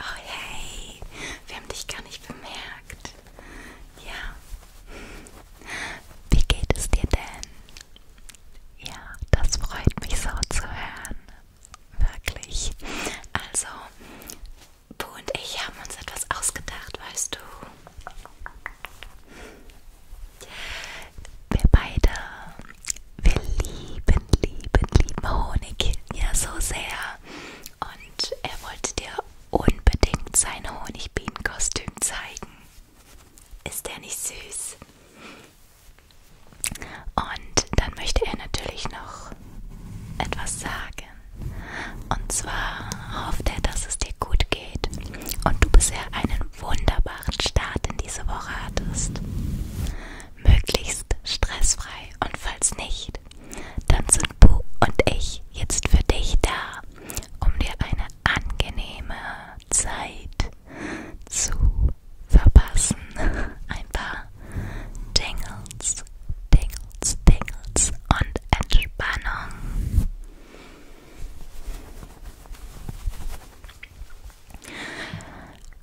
Oh hey, wir haben dich gar nicht bemerkt. Ja. Wie geht es dir denn? Ja, das freut mich so zu hören. Wirklich. Also, Bu und ich haben uns etwas ausgedacht, weißt du. Wir beide, wir lieben, lieben, lieben Honig ja so sehr. Und er wollte dir unbedingt sein Honigbienen-Kostüm zeigen. Ist der nicht süß? Und dann möchte er natürlich noch etwas sagen. Und zwar hofft er, dass es dir gut geht und du bisher einen wunderbaren Start in diese Woche hattest. Möglichst stressfrei und falls nicht, dann sind Bu und ich jetzt für dich da, um dir eine angenehme Zeit zu verpassen. Ein paar Dingles, Dingles, Dingles und Entspannung.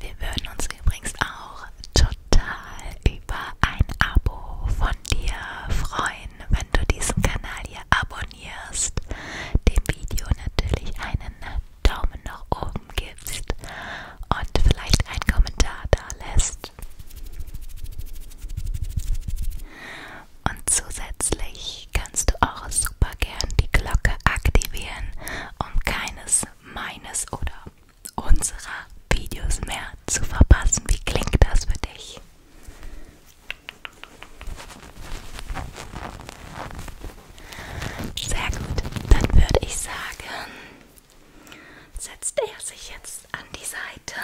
Wir würden uns übrigens auch total über ein Abo von dir freuen, wenn du diesen Kanal hier abonnierst, dem Video natürlich einen Daumen nach oben gibst und vielleicht einen Kommentar da lässt. Und zusätzlich kannst du auch super gern die Glocke aktivieren, um keines meines oder unserer Videos mehr zu verpassen. Wie klingt das für dich? Sehr gut, dann würde ich sagen, setzt er sich jetzt an die Seite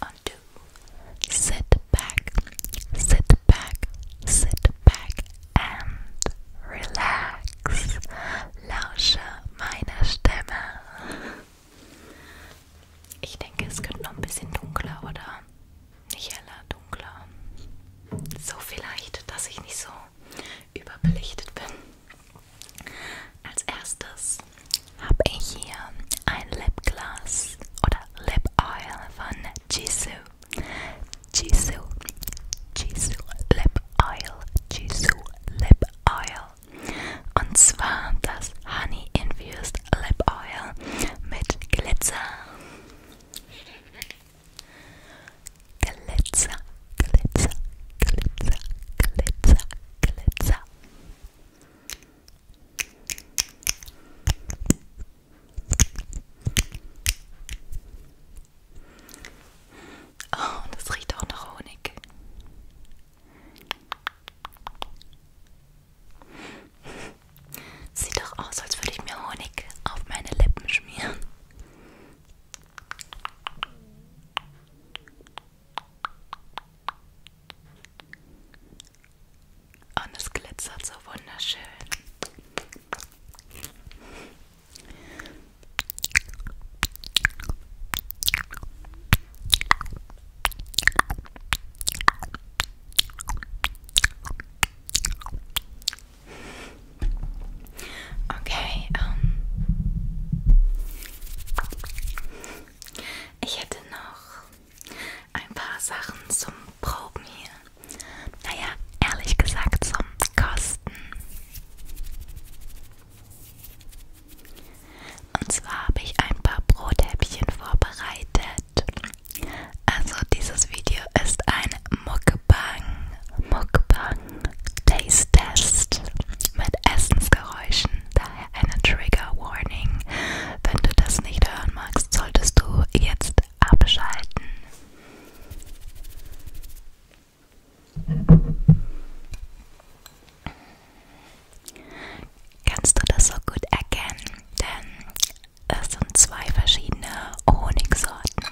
und du. Sit back, sit back, sit back and relax. Lausche meiner Stimme. Ich denke, es könnte noch ein bisschen dunkler, oder? Nicht heller, dunkler. So vielleicht, dass ich nicht so überbelichtet bin. Als erstes habe ich hier ein Lipgloss oder lip oil von Jisoo. Jisoo, Jisoo Lip Oil, Jisoo Lip Oil. Und zwar das Honey Infused Lip Oil mit Glitzer. Glitzer, Glitzer, Glitzer, Glitzer, Glitzer. Oh, und es riecht auch nach Honig. Sieht doch aus, als würde ich mir Honig auf meine Lippen schmieren. Und es glitzert so wunderschön. Okay, ähm ich hätte noch ein paar Sachen zum Proben hier. Naja, ehrlich gesagt zum Kosten. Und zwar habe ich ein paar Brothäppchen vorbereitet. Also dieses Video ist ein Mukbang, Mukbang Taste Test mit Essensgeräuschen. Daher eine Trigger Warning. Wenn du das nicht hören magst, solltest du jetzt abschalten. Kannst du das so gut erkennen? Denn es sind zwei verschiedene Honigsorten.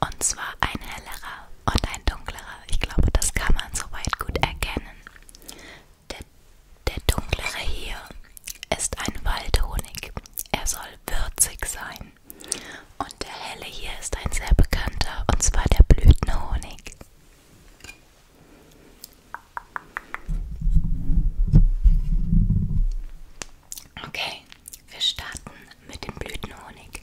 Und zwar ein hellerer und ein dunklerer. Ich glaube, das kann man soweit gut erkennen. Der, der dunklere hier ist ein Waldhonig. Er soll würzig sein. Und der helle hier ist ein sehr bekannter, und zwar der Blütenhonig. Okay, wir starten mit dem Blütenhonig.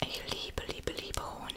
Ik liebe, liebe, liebe Honig.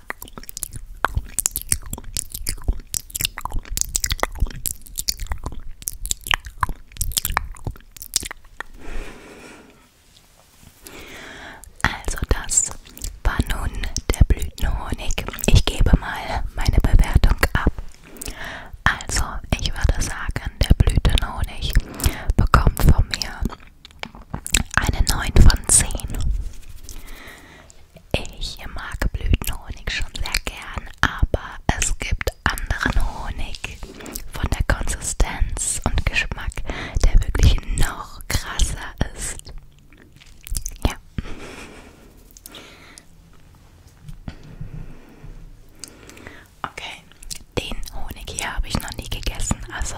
Also das war nun der Blütenhonig. Ich gebe mal meine Bewertung ab. Also ich würde sagen, der Blütenhonig bekommt von mir eine 9 von 10. Ich mag Blütenhonig schon sehr gern, aber es gibt anderen Honig von der Konsistenz und Geschmack, der wirklich noch krasser ist. Ja. Okay, den Honig hier habe ich noch nie gegessen, also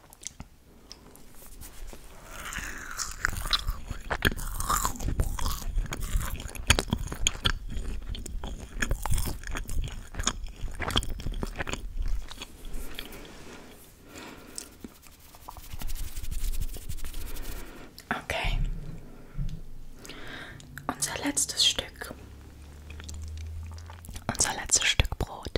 Okay. Unser letztes Stück unser letztes Stück Brot.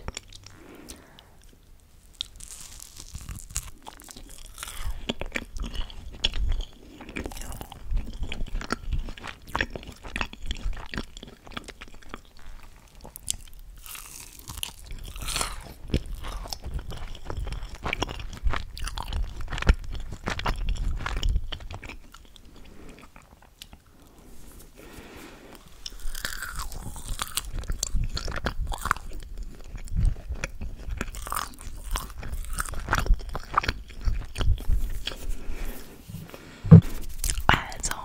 Also,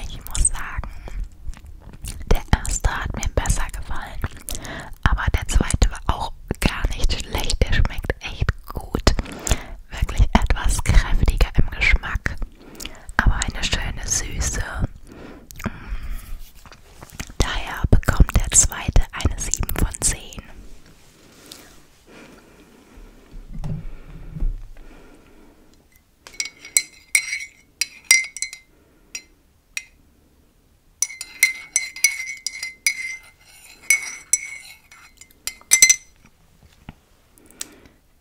ich muss sagen, der erste hat mir besser gefallen, aber der zweite war auch gar nicht schlecht. Der schmeckt echt gut. Wirklich etwas kräftiger im Geschmack aber eine schöne Süße. Mm, daher bekommt der zweite eine 7 von 10.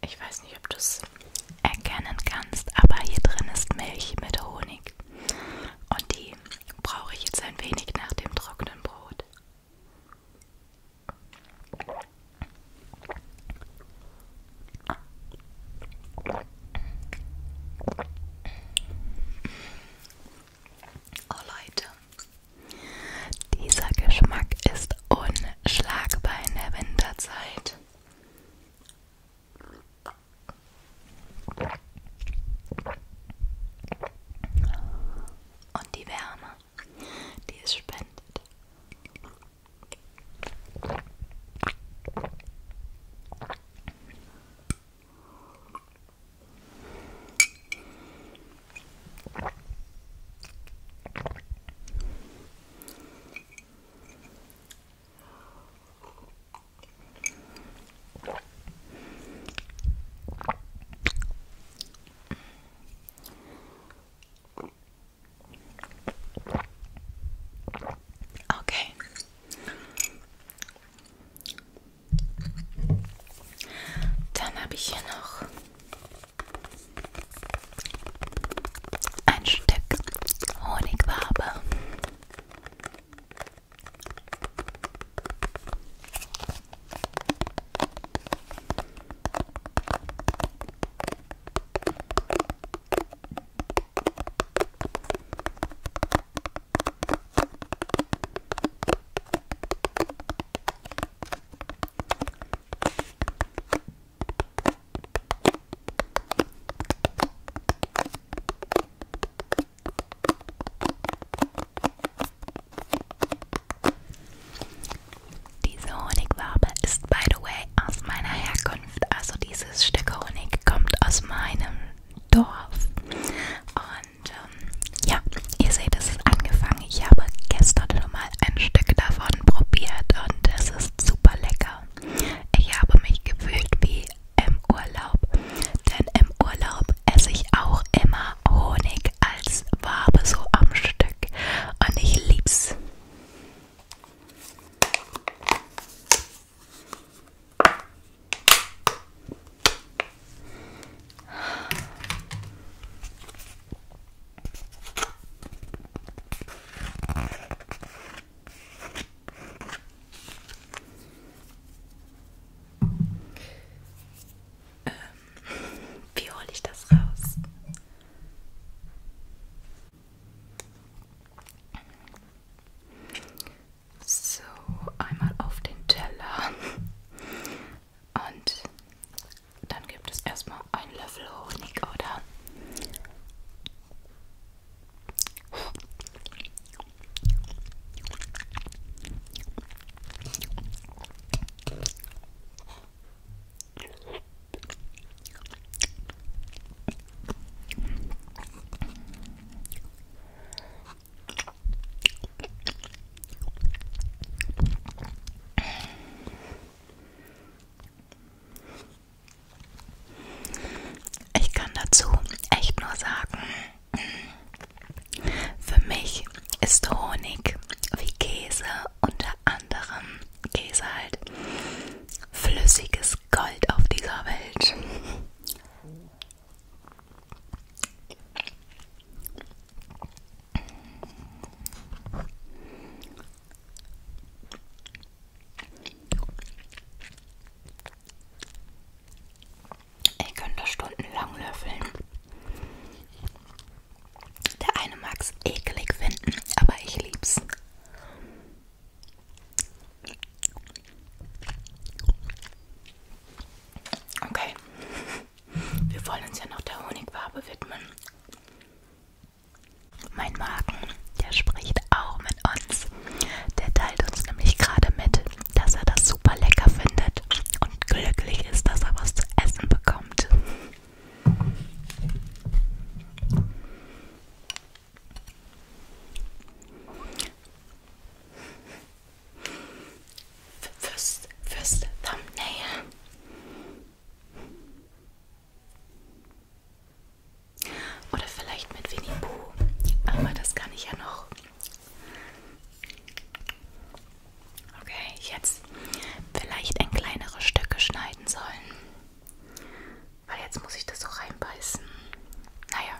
Ich weiß nicht, ob du es erkennen kannst, aber hier drin ist Milch mit Honig. Und die brauche ich jetzt ein wenig nach dem trockenen Brot. Oh Leute, dieser Geschmack ist unschlagbar in der Winterzeit. Und die Wärme, die es spendet. Okay. Dann habe ich hier noch ein Stück Honigwabe. Diese Honigwabe ist, by the way, aus meiner Herkunft. Also dieses Stück Honig kommt aus meinem Dorf. Und ähm, ja, ihr seht, es ist angefangen. Ich habe gestern schon mal ein Stück davon probiert und es ist super lecker. Ich habe mich gefühlt wie im Urlaub, denn im Urlaub esse ich auch immer Honig als Wabe so am Stück und ich lieb's. Ähm, wie hole ich das raus? So, einmal auf den Teller und dann gibt es erstmal einen Löffel Honig, oder? Ich kann dazu echt nur sagen, für mich ist Honig wie Käse, unter anderem Käse halt, flüssiges Gold auf dieser Welt. Ich könnte das stundenlang löffeln. Der eine mag es eklig finden, aber ich lieb's. Okay. Wir wollen uns ja noch der Honigwabe widmen. Mein Magen, der spricht auch mit uns. Der teilt uns nämlich gerade mit, dass er das super lecker findet und glücklich ist, dass er was zu essen bekommt. Fürs, fürs Thumbnail. Oder vielleicht mit Winnie Pooh. Aber das kann ich ja noch. Okay, jetzt vielleicht in kleinere Stücke schneiden sollen. Weil jetzt muss ich das so reinbeißen. Naja.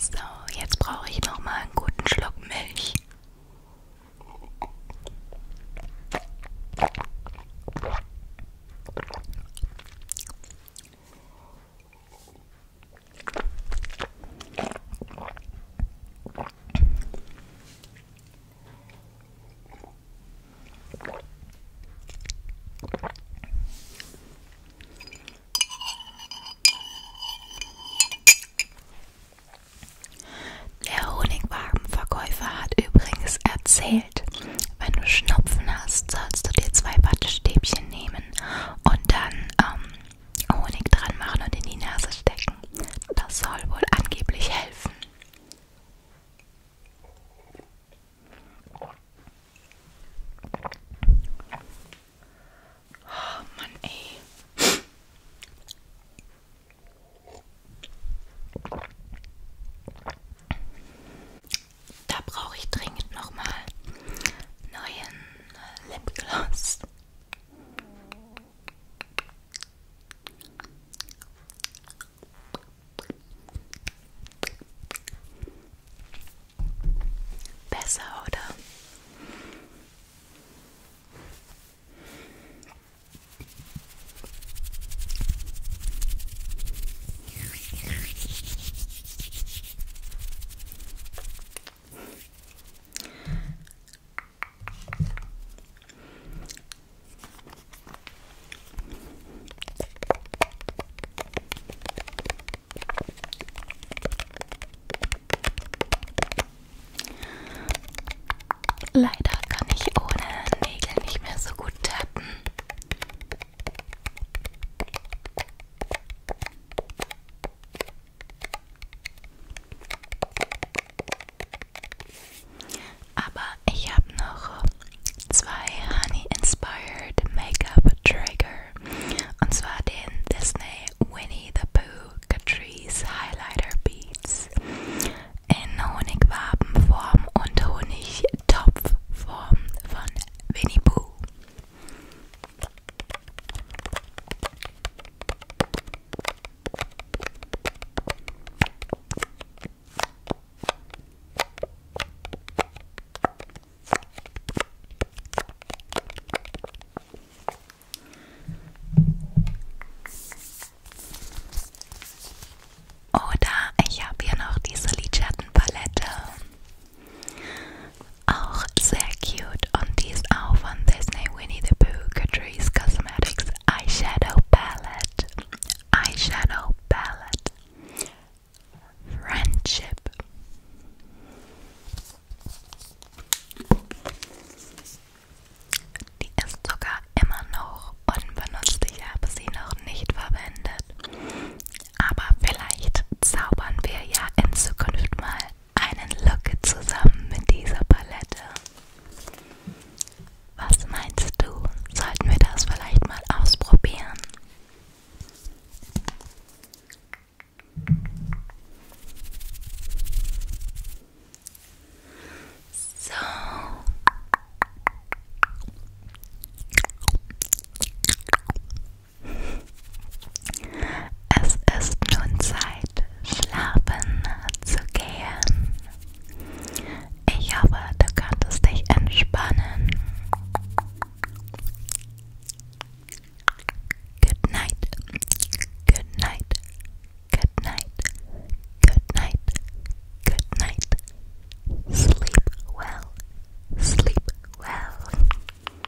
So, jetzt brauche ich noch mal einen guten Schluck Milch. Der Honigwagenverkäufer hat übrigens erzählt, wenn du Schnupfen hast, sollst du dir zwei Wattestäbchen nehmen und dann ähm, Honig dran machen und in die Nase stecken. Das soll wohl angeblich helfen. Oh Mann, ey. Da brauche ich dringend nochmal neuen Lipgloss. Besser, oder? Leider kann ich ohne Nägel nicht mehr so gut tappen. Aber ich habe noch zwei Honey Inspired Make-up Trigger. Und zwar den Disney Winnie the Pooh Catrice Highlighter Beads in Honigwabenform und Honigtopfform von Winnie Pooh. Oder ich habe hier noch diese Lidschattenpalette auch sehr cute und die ist auch von Disney Winnie the Pooh Catrice Cosmetics Eyeshadow Palette. Eyeshadow Palette. Friendship. Die ist sogar immer noch unbenutzt. Ich habe sie noch nicht verwendet. Aber vielleicht zaubern wir ja in Zukunft mal einen Look zusammen mit dieser Palette. Was meinst du? Sollten wir das vielleicht mal ausprobieren? So. Es ist nun Zeit, schlafen zu gehen. Ich hoffe, du konntest dich entspannen. Good night. Good night. Good night. Good night. Good night. Sleep well. Sleep well.